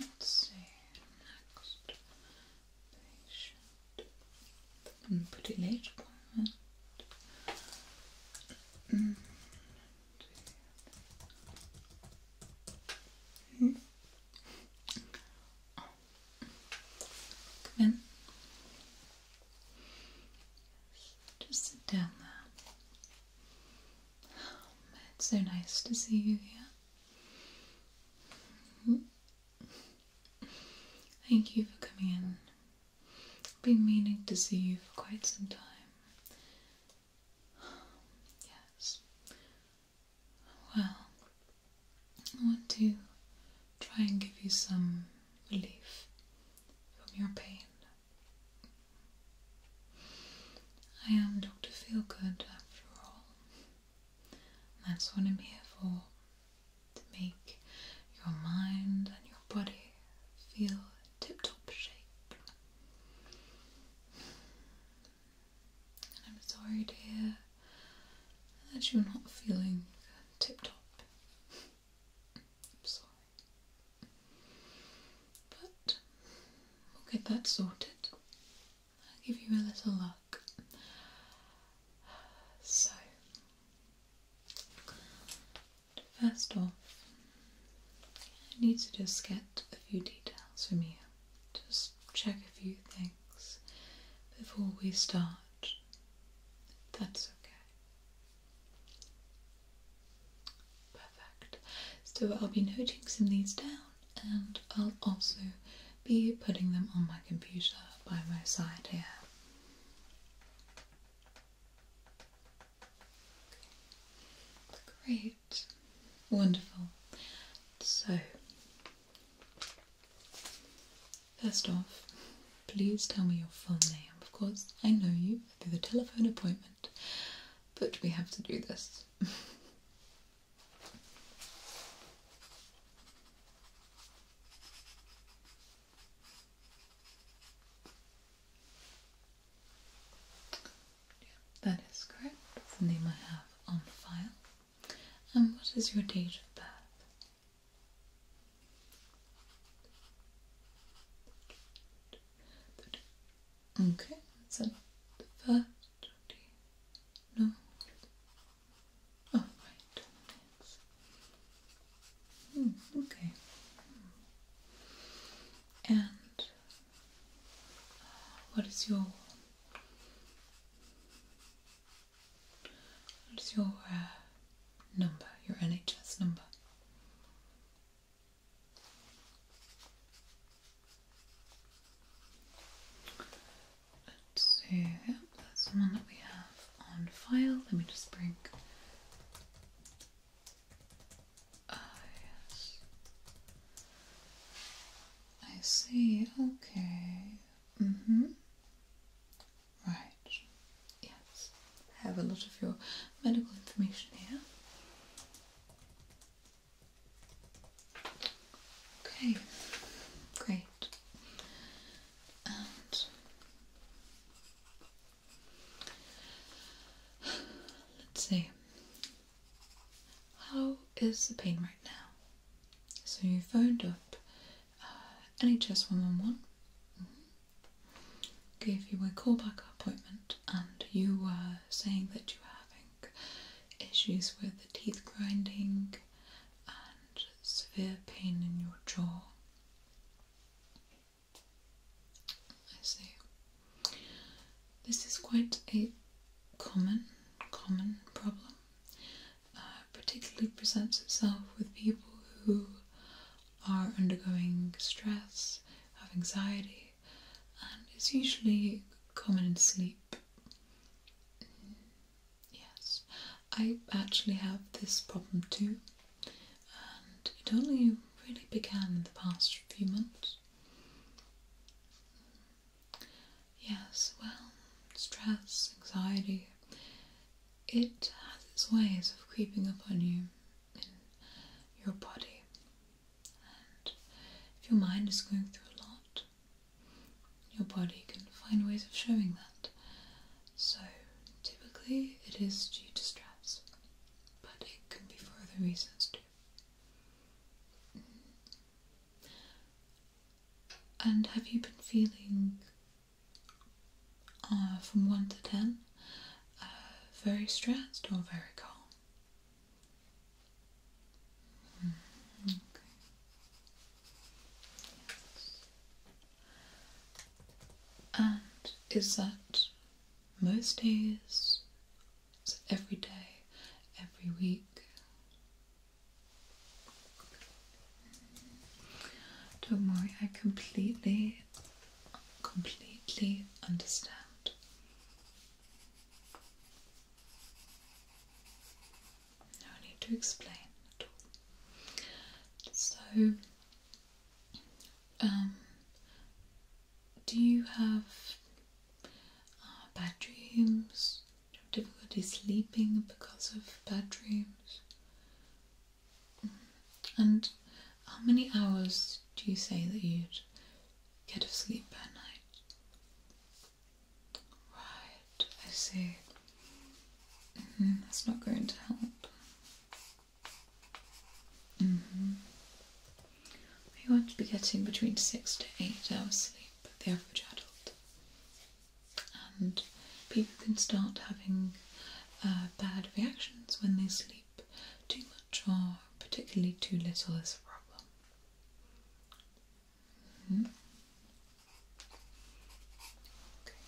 Let's see. Next patient. put it later. Mm. Mm. Come in. Just sit down there. It's so nice to see you here. Thank you for coming in. I've been meaning to see you for quite some time. Yes. Well, I want to try and give you some relief from your pain. I am Dr. Feelgood after all. That's what I'm here for to make your mind and your body feel tip top shape. And I'm sorry, dear, that you're not feeling tip top. I'm sorry. But we'll get that sorted. I'll give you a little look. So, first off, I need to just get a few details from you. Just check a few things before we start. That's okay. Perfect. So I'll be noting some of these down and I'll also be putting them on my computer by my side here. Great. Wonderful. So, first off, please tell me your full name. Of course, I know you through the telephone appointment but we have to do this. that is correct. the name I have on file. And what is your date of birth? Okay, that's it. The first no. Oh right. Hmm, okay. And uh, what is your what is your uh, number, your NHS number? Let's see, that's the one that we have on file. Let me just bring. Ah, yes. I see, okay. Mm hmm. Right. Yes. I have a lot of your medical information here. Okay, great. And let's see. How is the pain right now? So you phoned up uh, NHS 111. Mm mm-hmm gave you a callback appointment and you were saying that you were having issues with the teeth grinding and severe pain in your jaw. I see. This is quite a common, common problem. Uh, particularly presents itself with people who are undergoing stress, have anxiety, and it's usually common in sleep. Yes, I actually have this problem too, and it only really began in the past few months. Yes, well, stress, anxiety, it has its ways of creeping up on you in your body. And if your mind is going through a lot, your body can find ways of showing that. So typically it is due to stress, but it can be for other reasons too. And have you been feeling uh, from 1 to 10 uh, very stressed or very calm? Hmm, okay. And is that most days? every day? Every week? Don't worry, I completely completely understand. No need to explain at all. So, um, do you have uh, bad dreams? Do you have difficulty sleeping because of bad dreams? And how many hours do you say that you'd get of sleep per night? Right, I see. Mm-hmm, that's not going to help. mm You want to be getting between six to eight hours sleep, the average adult. And people can start having uh, bad reactions when they sleep too much or particularly too little is a problem. Hmm? Okay.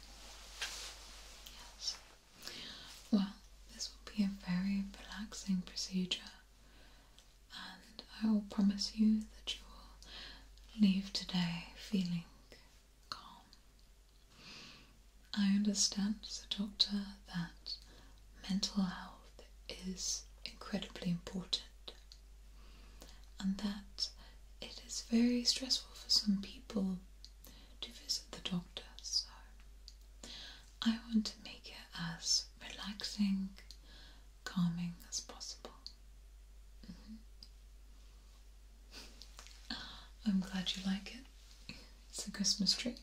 Yes. Well, this will be a very relaxing procedure, and I will promise you that you will leave today feeling calm I understand as a doctor that mental health is incredibly important and that it is very stressful for some people to visit the doctor. So I want to make it as relaxing, calming as possible. Mm-hmm. I'm glad you like it. It's a Christmas tree.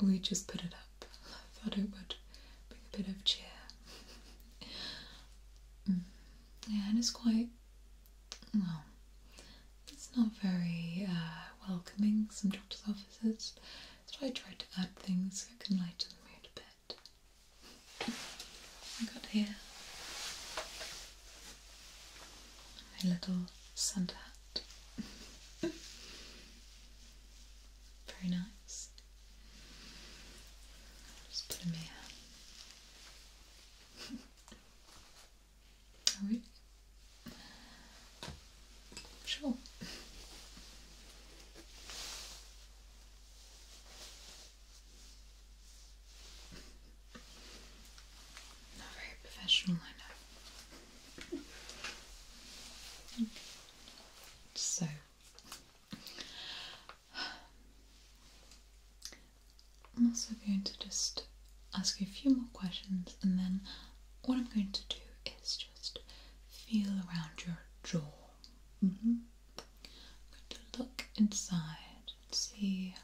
We just put it up. I thought it would bring a bit of cheer. Mm. Yeah, and it's quite. well, it's not very uh, welcoming, some doctor's offices. So I tried to add things that can lighten the mood a bit. I got here a little Santa hat. Very nice. Just put him here. Are we? Sure. Not very professional, I know. So, I'm also going to just ask you a few more questions, and then what I'm going to do is just feel around your jaw. Mm-hmm. I'm going to look inside and see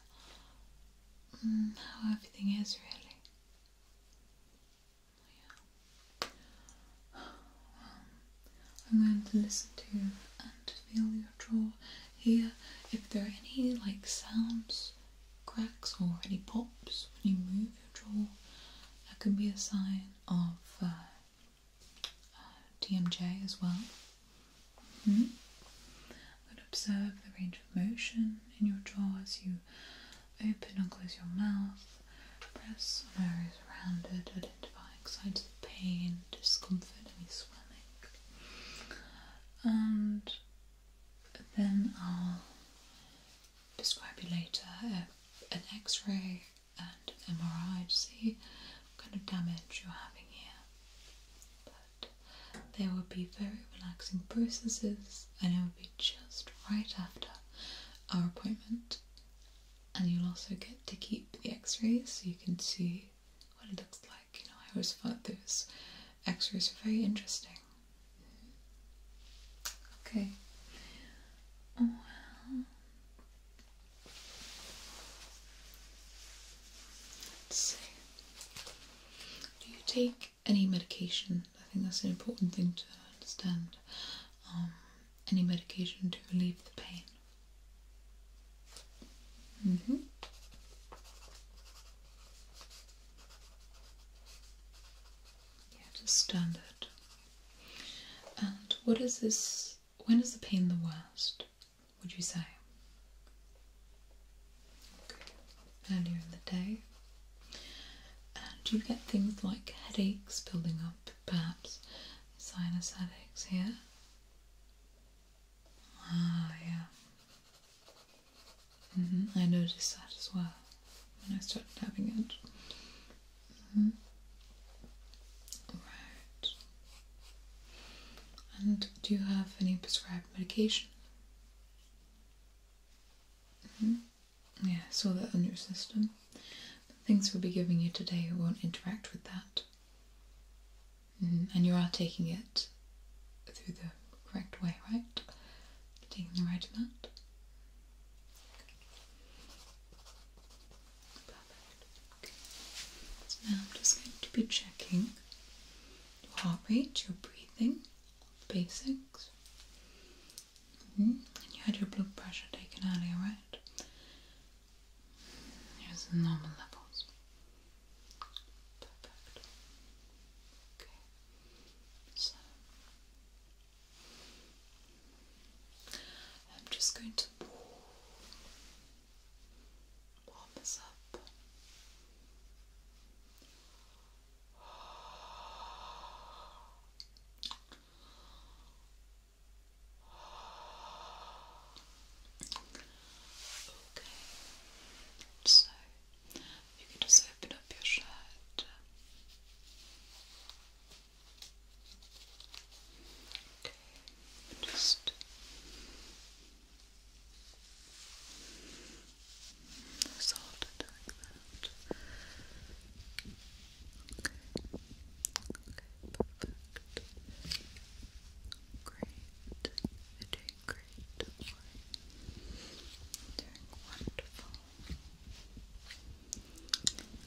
mm, how everything is really. Um, I'm going to listen to you and feel your jaw here. If there are any like sounds, cracks, or any pops when you move your jaw, that could be a sign of uh, TMJ uh, as well. Mm observe the range of motion in your jaw as you open and close your mouth. Press on areas rounded, identifying signs of pain, discomfort, any swelling. And then I'll describe you later uh, an x ray and an MRI to see kind of damage you're having here there will be very relaxing processes and it will be just right after our appointment. And you'll also get to keep the x rays so you can see what it looks like. You know, I always thought those x rays were very interesting. Okay. Oh, Let's see. Do you take any medication? I think that's an important thing to understand. Um, any medication to relieve the pain? Mm hmm. Yeah, just standard. And what is this? When is the pain the worst? would you say? Earlier in the day. And you get things like headaches building up, perhaps sinus headaches here. Ah, yeah. Mm-hmm. I noticed that as well when I started having it. Mm And do you have any prescribed? medication. Mm-hmm. Yeah, so that on your system. things we'll be giving you today won't interact with that. Mm-hmm. And you are taking it through the correct way, right? Taking the right amount. Perfect. Okay. So now I'm just going to be checking your heart rate, your breathing, basics. Mm-hmm. And you had your blood pressure taken earlier, right? Here's the normal levels. Perfect. Okay. So I'm just going to warm us up. Okay, so you can just open up your shirt. Okay, just so okay, perfect, great, doing great, doing wonderful,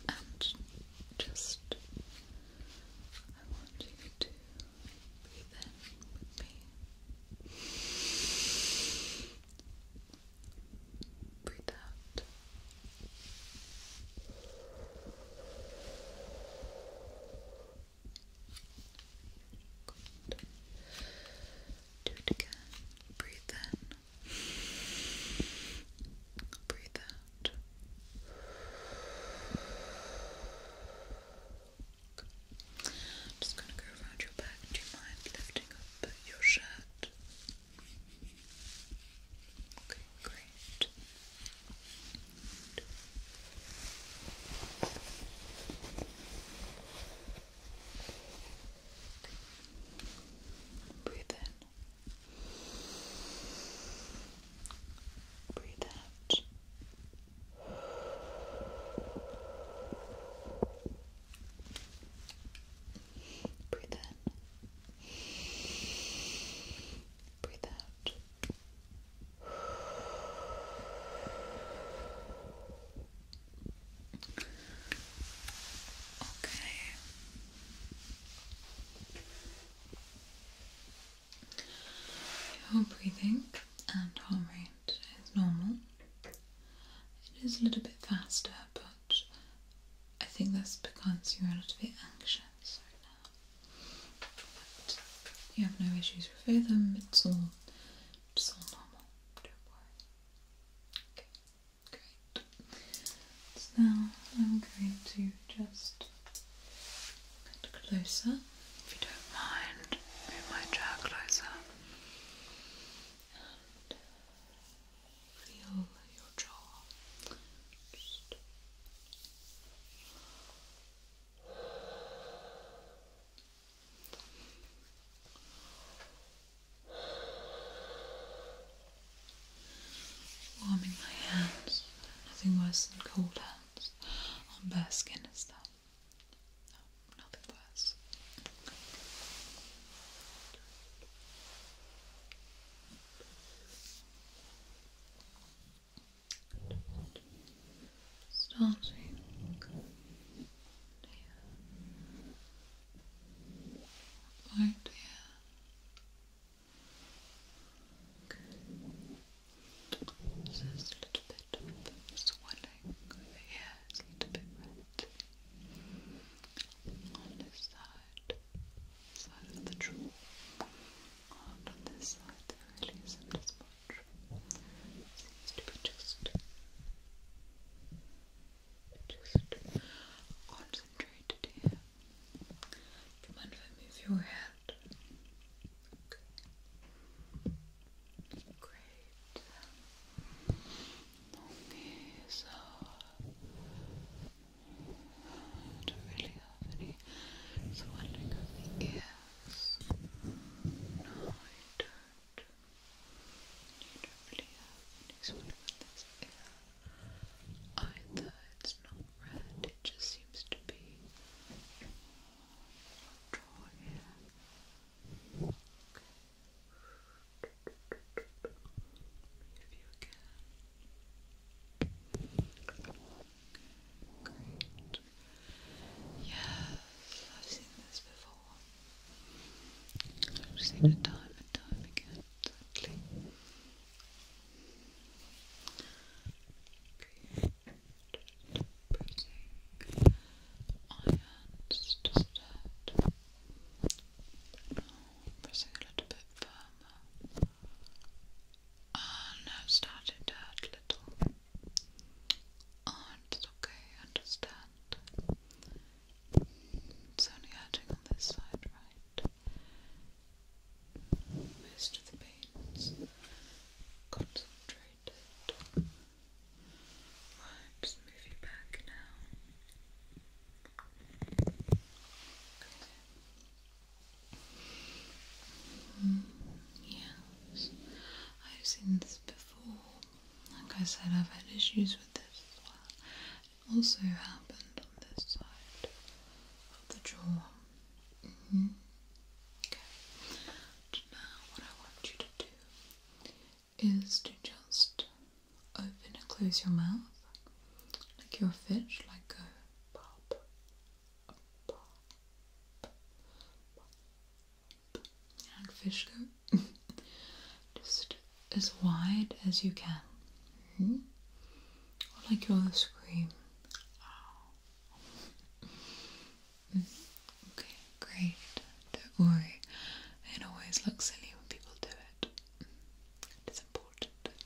and just, I want you to Breathe in Breathe out. Do it again. Breathe in. Breathe out i just going to go around your back. Do you mind lifting up your shirt? Okay, great. Breathe in. Breathe out. Breathe in. Breathe out. Okay. Your breathing and heart rate is normal. It is a little bit faster, but I think that's because you're a little bit anxious right now. But you have no issues with rhythm, it's all, it's all normal, don't great. So I'm going to just closer, if you don't mind. Move my chair closer. And feel your jaw. Warming my hands, nothing worse than cold hands hands on bare skin as that. nothing worse. Starting here, right Good. So there's a little bit of swelling over it's a little bit red. On this side, side of the jaw. And on this side there really not as much. seems to be just just concentrated here. Do you if I move your hair that. Great. Okay, so I don't really have any. So I the ears. No, I don't. You don't really have any sort of this ear either red, it just seems to be draw If you can. great. Yes, I've seen this before. I've seen it time and time again, sadly pressing irons just pressing a little bit firmer and now started to hurt a little oh it's okay, I understand it's only adding on this side, right? most of the pain's concentrated. Right, just move back now. Okay. I've seen this before. Like I said, I've had issues with this as well. also happened on this side of the jaw. Mm-hmm. Okay. Now, what I want you to do is to just open and close your mouth like you're a fish, like go pop, pop, pop, like fish go. just as wide as you can. Mm-hmm. like you're scream. Ow. Okay, great. Don't worry. It always looks silly when people do it. It's important. But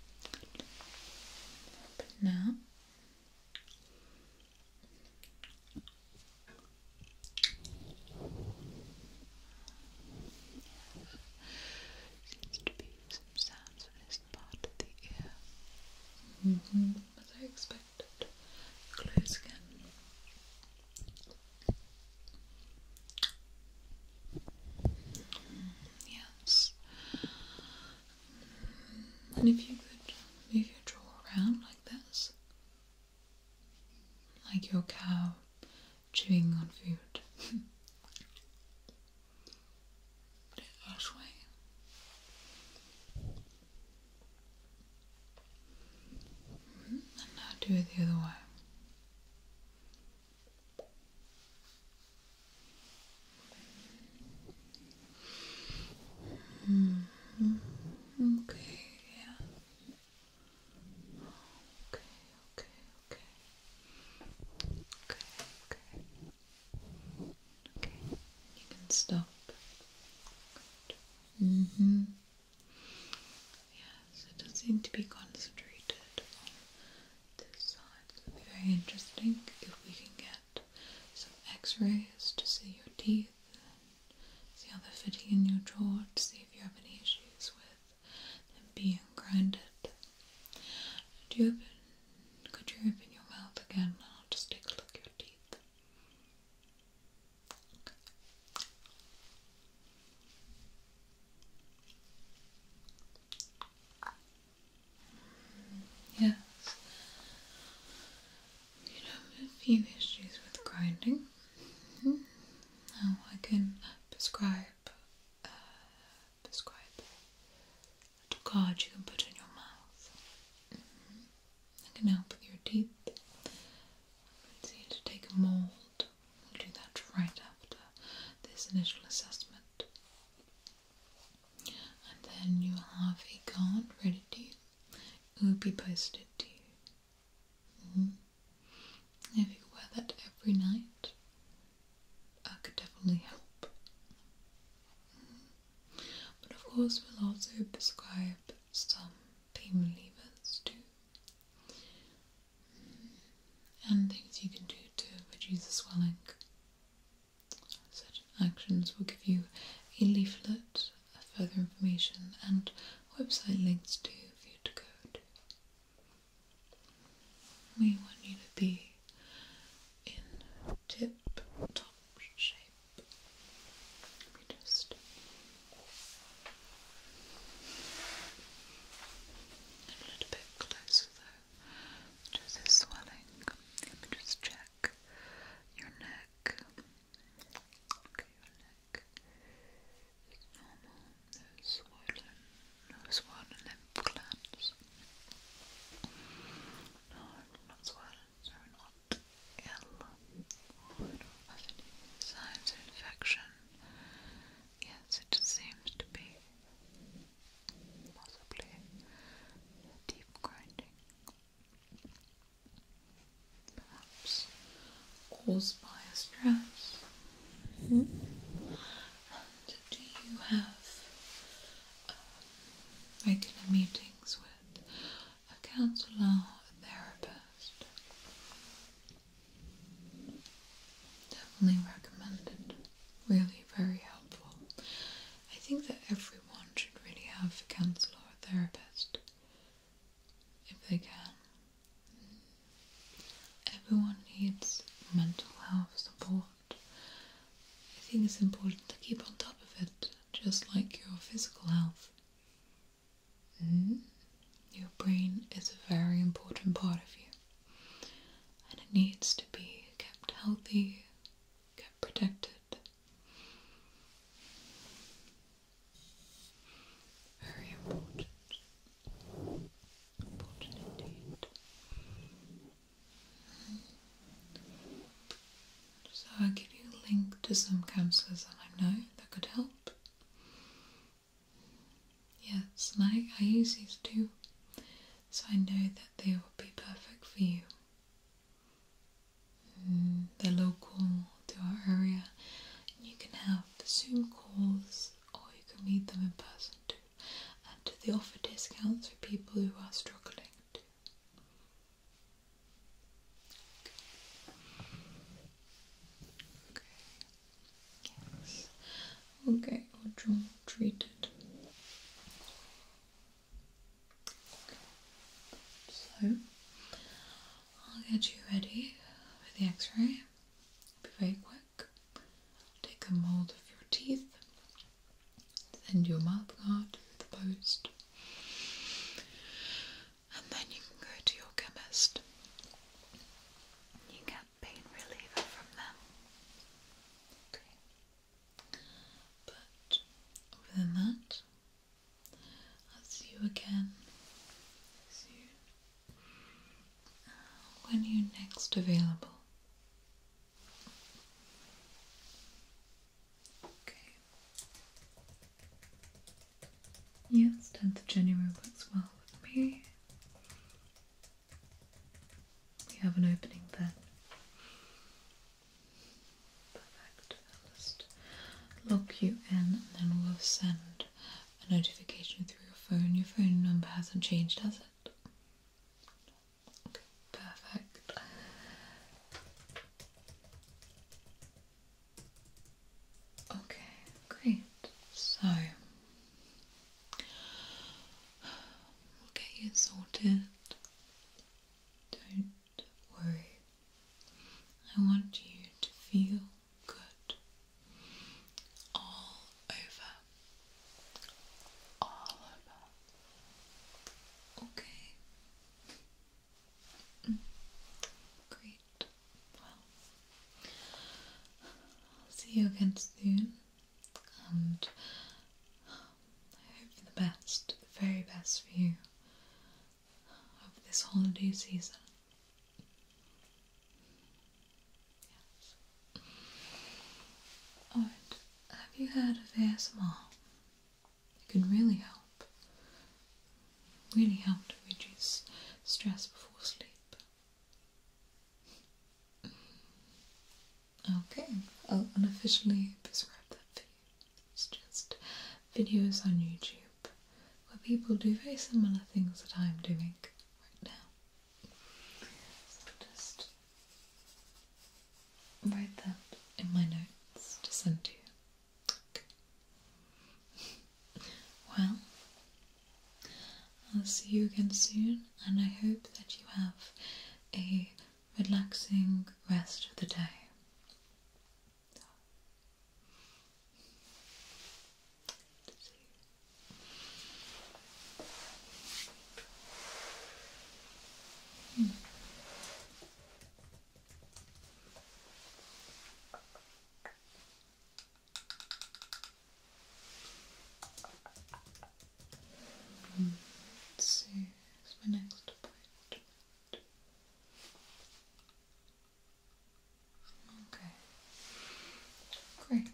now. Seems to be sounds in this part of the ear. Mm-hmm. As I expected. Close again. yes. And if you could move your jaw around like this, like your cow chewing on food. put it that And now do it the other way. Okay, yeah. okay, okay. Okay, okay. Okay, you can stop. Good. Mm hmm. it does seem to be concentrated on this side. It'll be very interesting if we can get some x-rays to see your teeth see how they're fitting in your jaw to see if you have any issues with them being grounded. Do you could you open your mouth again and I'll just take a look at your teeth? Yes. You know, a few issues with grinding. Now I can prescribe, uh, prescribe a card you can put in your mouth. Mm mm-hmm. That can help with your teeth. It's easier to take a mold. We'll do that right after this initial assessment. And then you will have a card ready to you. It will be posted to you. Mm-hmm. If you wear that every night, I could definitely help. Mm. But of course, we'll also prescribe some pain relievers too, mm. and things you can do to reduce the swelling. Such actions will give you a leaflet, further information, and website links to view to go to. We want you to be in tip top shape. just a little bit closer though to the swelling. Let me just check your neck. Okay, your neck is normal, no swollen nose one and glands. not swollen, so not ill. signs of infection. Yes, it seems to be possibly deep grinding. Perhaps caused by a stress. Hmm? do you have um, regular meetings with a counsellor or a therapist? Definitely recommended. Really very helpful. I think that everyone should really have a counsellor or a therapist if they can. Everyone needs mental health support I think it's important to keep on top of it, just like your physical health. Mm. Your brain is a very important part of you, and it needs to be kept healthy, kept protected. Very important. Important indeed. So I'll give you a link to some counsellors that I know that could help. Yes, and I, use these too, so I know that they will be perfect for you. Mm, they're local to our area, and you can have Zoom calls or you can meet them in person too. Uh, to, and they offer discounts for people who are struggling too. Okay. I'll or draw treated. So I'll get you ready for the X-ray. be very quick take a mold of your teeth, send your mouthguard to the post, and then you can go to your chemist. You get pain reliever from them. But other than that, I'll see you again soon when are you next available. Okay. Yes, 10th of January works well with me. We have an opening then. Perfect. I'll lock you in and then we'll send a notification through your phone. Your phone number hasn't changed, has it? Perfect. Okay, great. So we'll get you sorted. Don't worry. I want you to feel good all over, all over. Okay. Great. Well, I'll see you again soon, and I hope for the best, the very best for you of this holiday season have you heard of ASMR? It can really help. Really help to reduce stress before sleep. Okay, I'll unofficially prescribe that for you. It's just videos on YouTube where people do very similar things that I'm doing right now. So just write that in my notes to send to you. Well, I'll see you again soon, and I hope that you have a relaxing rest of the day to see. Hmm. Mm. Let's see, my next point. Okay, great.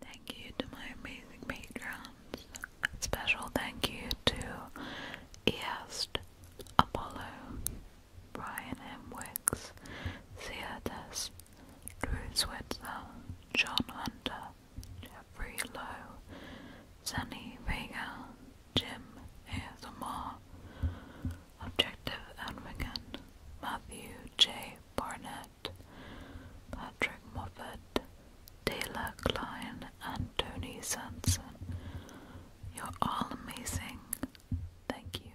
Thank you to my amazing patrons. Special thank you to East Apollo, Brian M. Wicks, Drew Switzer, John Hunter, Jeffrey Lowe, Sunny Vega, Jim ASMR, Objective Advocate, Matthew J. Barnett, Patrick Moffat, Taylor Klein, and Tony Sanson. You're all amazing. Thank you.